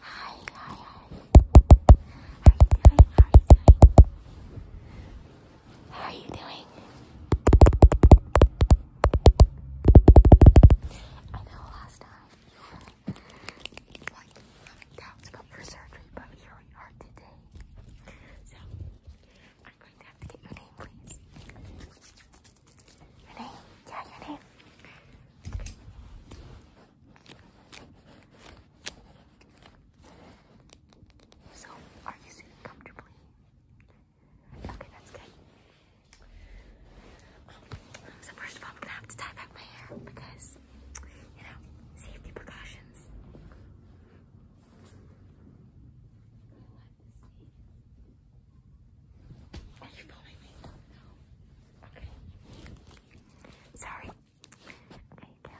Hi, How are you doing? How are you doing? How are you doing? I know last time you were having doubts about your surgery, but here we are today. So I'm going to have to get your name, please. Your Yeah, your So, are you sitting comfortably? Okay, that's good. So first of all, I'm gonna have to tie back my hair because, you know, safety precautions. Are you following me? No. Okay. Sorry. Okay,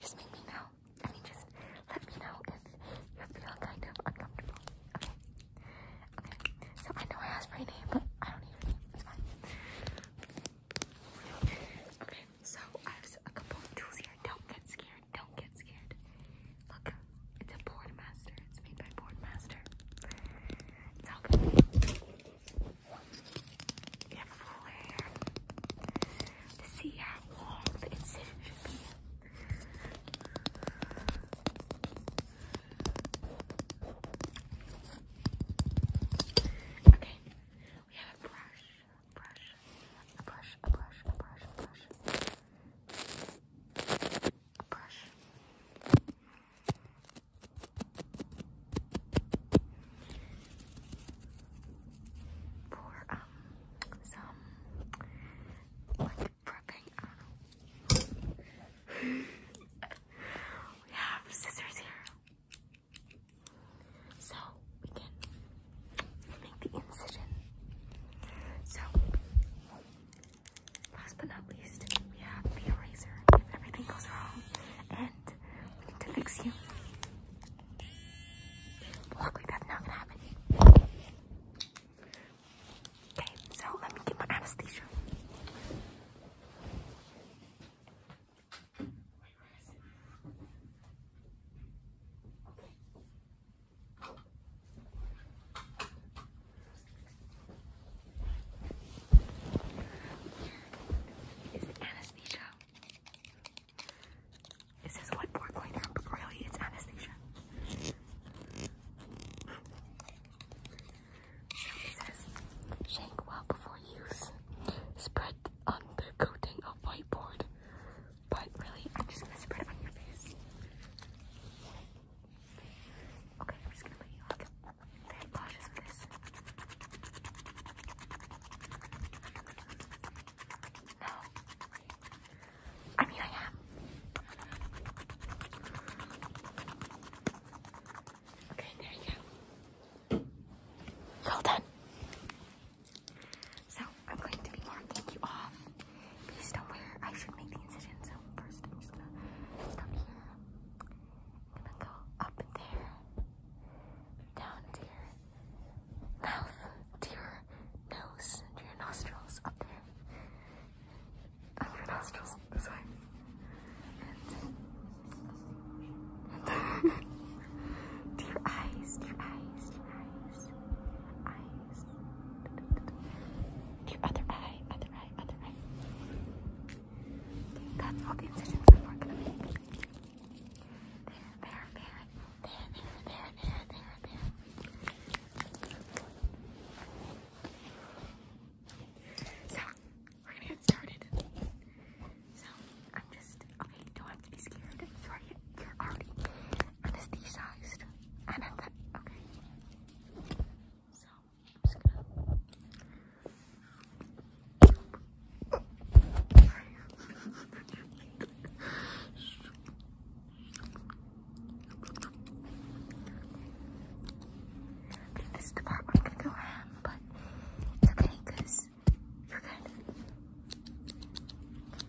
Just make me know. I mean, just let me know if you feel kind of uncomfortable. Okay. Okay. So I know I asked for your name, but I don't need Okay. So I have a couple tools here. Don't get scared. Don't get scared. Look, it's a board master. It's made by Boardmaster. It's helpful. You have full hair. see how long the should be. Okay, we have a brush, a brush, a brush, a brush, a brush, a brush. A brush for um some like prepping. I don't know. we have scissors here, so we can make the incision. So Last but not least, we have the eraser. If everything goes wrong, and we need to fix you. But luckily, that's not gonna happen. Okay, so let me get my anesthesia. Is it anesthesia? It says whiteboard cleaner, but really it's anesthesia. it says, shake well before use. Spread undercoating of whiteboard. But really, I'm just gonna spread it on your face. Okay, I'm just gonna let you like very cautious No. I mean I am. Okay, there you go. Well done. So I'm going to be marking you off based on where I should make the incision. So first I'm just gonna stop here. I'm gonna go up there, down to mouth, to nose, to nostrils, up there. Up your nostrils, this way. And, eyes, to eyes, to eyes. Eyes, your other eye, other eye, other eye. That's all the incisions I'm working on. There, there, there, there, there, there, there, there, there. So, we're gonna get started. So, I'm just, okay, don't have to be scared. you you're already, anesthetized. And at the okay. So I'm just gonna this is the go ham, but it's okay because you're good.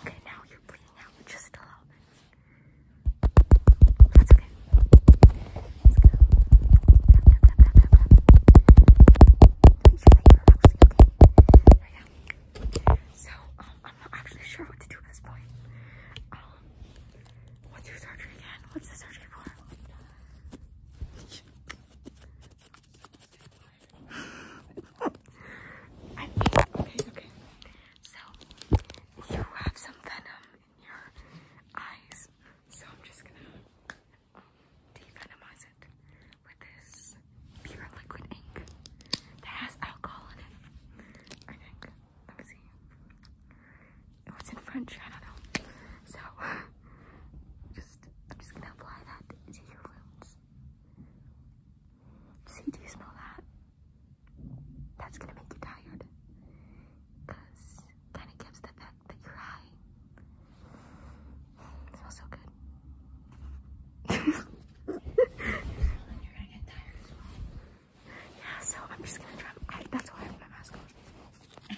Okay, now you're bleeding out just a little That's okay. So, um, I'm not actually sure what to do at this point. Um, what's your surgery again? What's the surgery for? I think, okay, okay. So, you have some venom in your eyes. So, I'm just gonna um, devenomize it with this pure liquid ink that has alcohol in it. I Let me see. Oh, it was in French, I don't know. So, just, I'm just gonna apply that to your wounds. See, do you smell that? That's gonna make you tired. kinda gives the fact that you're high. smells so good. Yeah, so I'm just gonna drop that's why I have my mask on.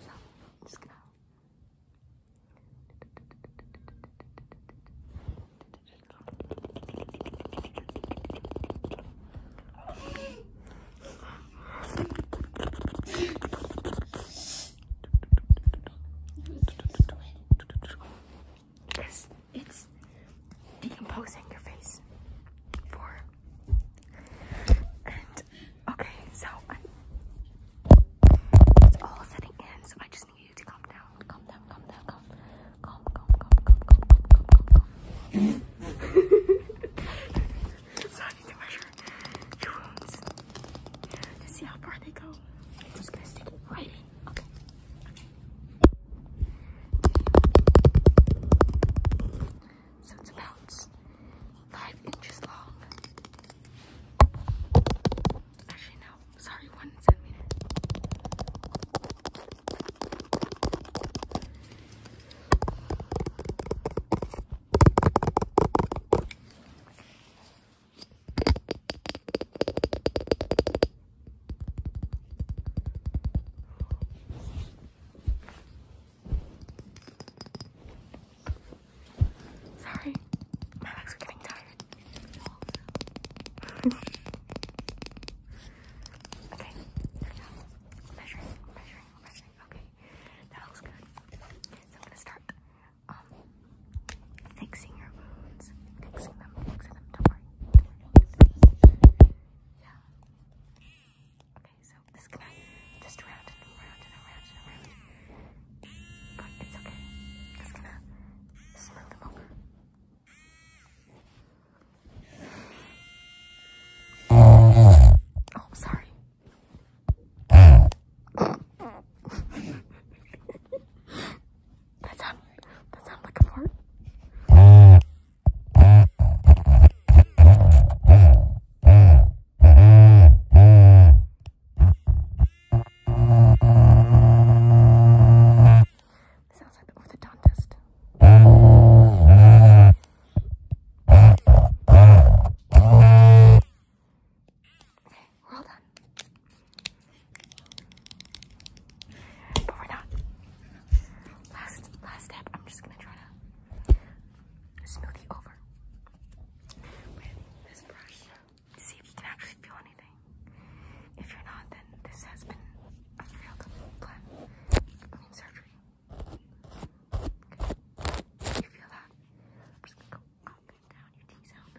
so I'm just gonna it's, it's decomposing your face for and okay so it's all setting in so I just asking down, calm down, calm down, calm, calm, calm, calm, calm, calm, calm, calm, calm. so I your wounds to see how far they go. I'm just gonna stick it right in. So it's about five inches long. Actually, no. Sorry, one centimeter. Sorry, my legs are getting tired. okay, Measuring, measuring, measuring. Okay, that looks good. So I'm gonna start um, fixing your wounds, fixing them, fixing them. Yeah. Okay, so this just round and around and around and around. But it's okay. Just gonna smooth them over. Oh, sorry. that sound that sound like a fart. Sounds like the orthodontist. we're all done. But we're not. Last last step, I'm just gonna try to smooth smoothie over with this brush see if you can actually feel anything. If you're not, then this has been a failed plan. surgery. You feel that? I'm just gonna go down your T sound.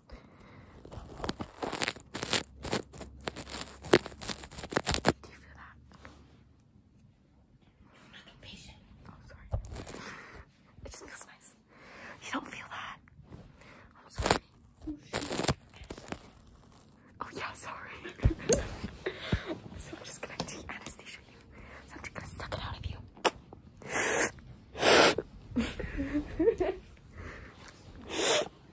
Do you feel that? I'm not patient. Oh, sorry. It just feels nice. You don't feel that? Oh, yeah, sorry. so I'm just gonna de anesthesia you. So I'm just gonna suck it out of you. My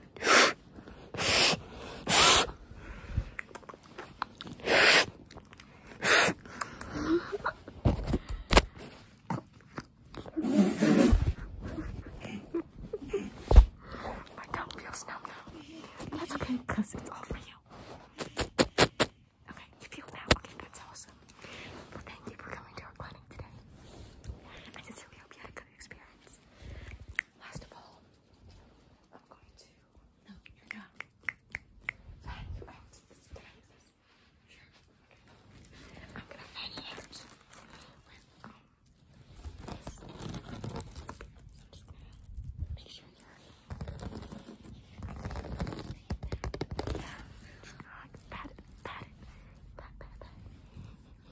tongue feels numb now. that's okay, because it's all for you. Okay, you feel now. Okay, that's awesome. Well, thank you for coming to our clinic today. I sincerely hope you had a Last of all, I'm going to. No, you're not. Fan you out. I'm gonna fan you out Yeah. Pat pat pat, pat, pat.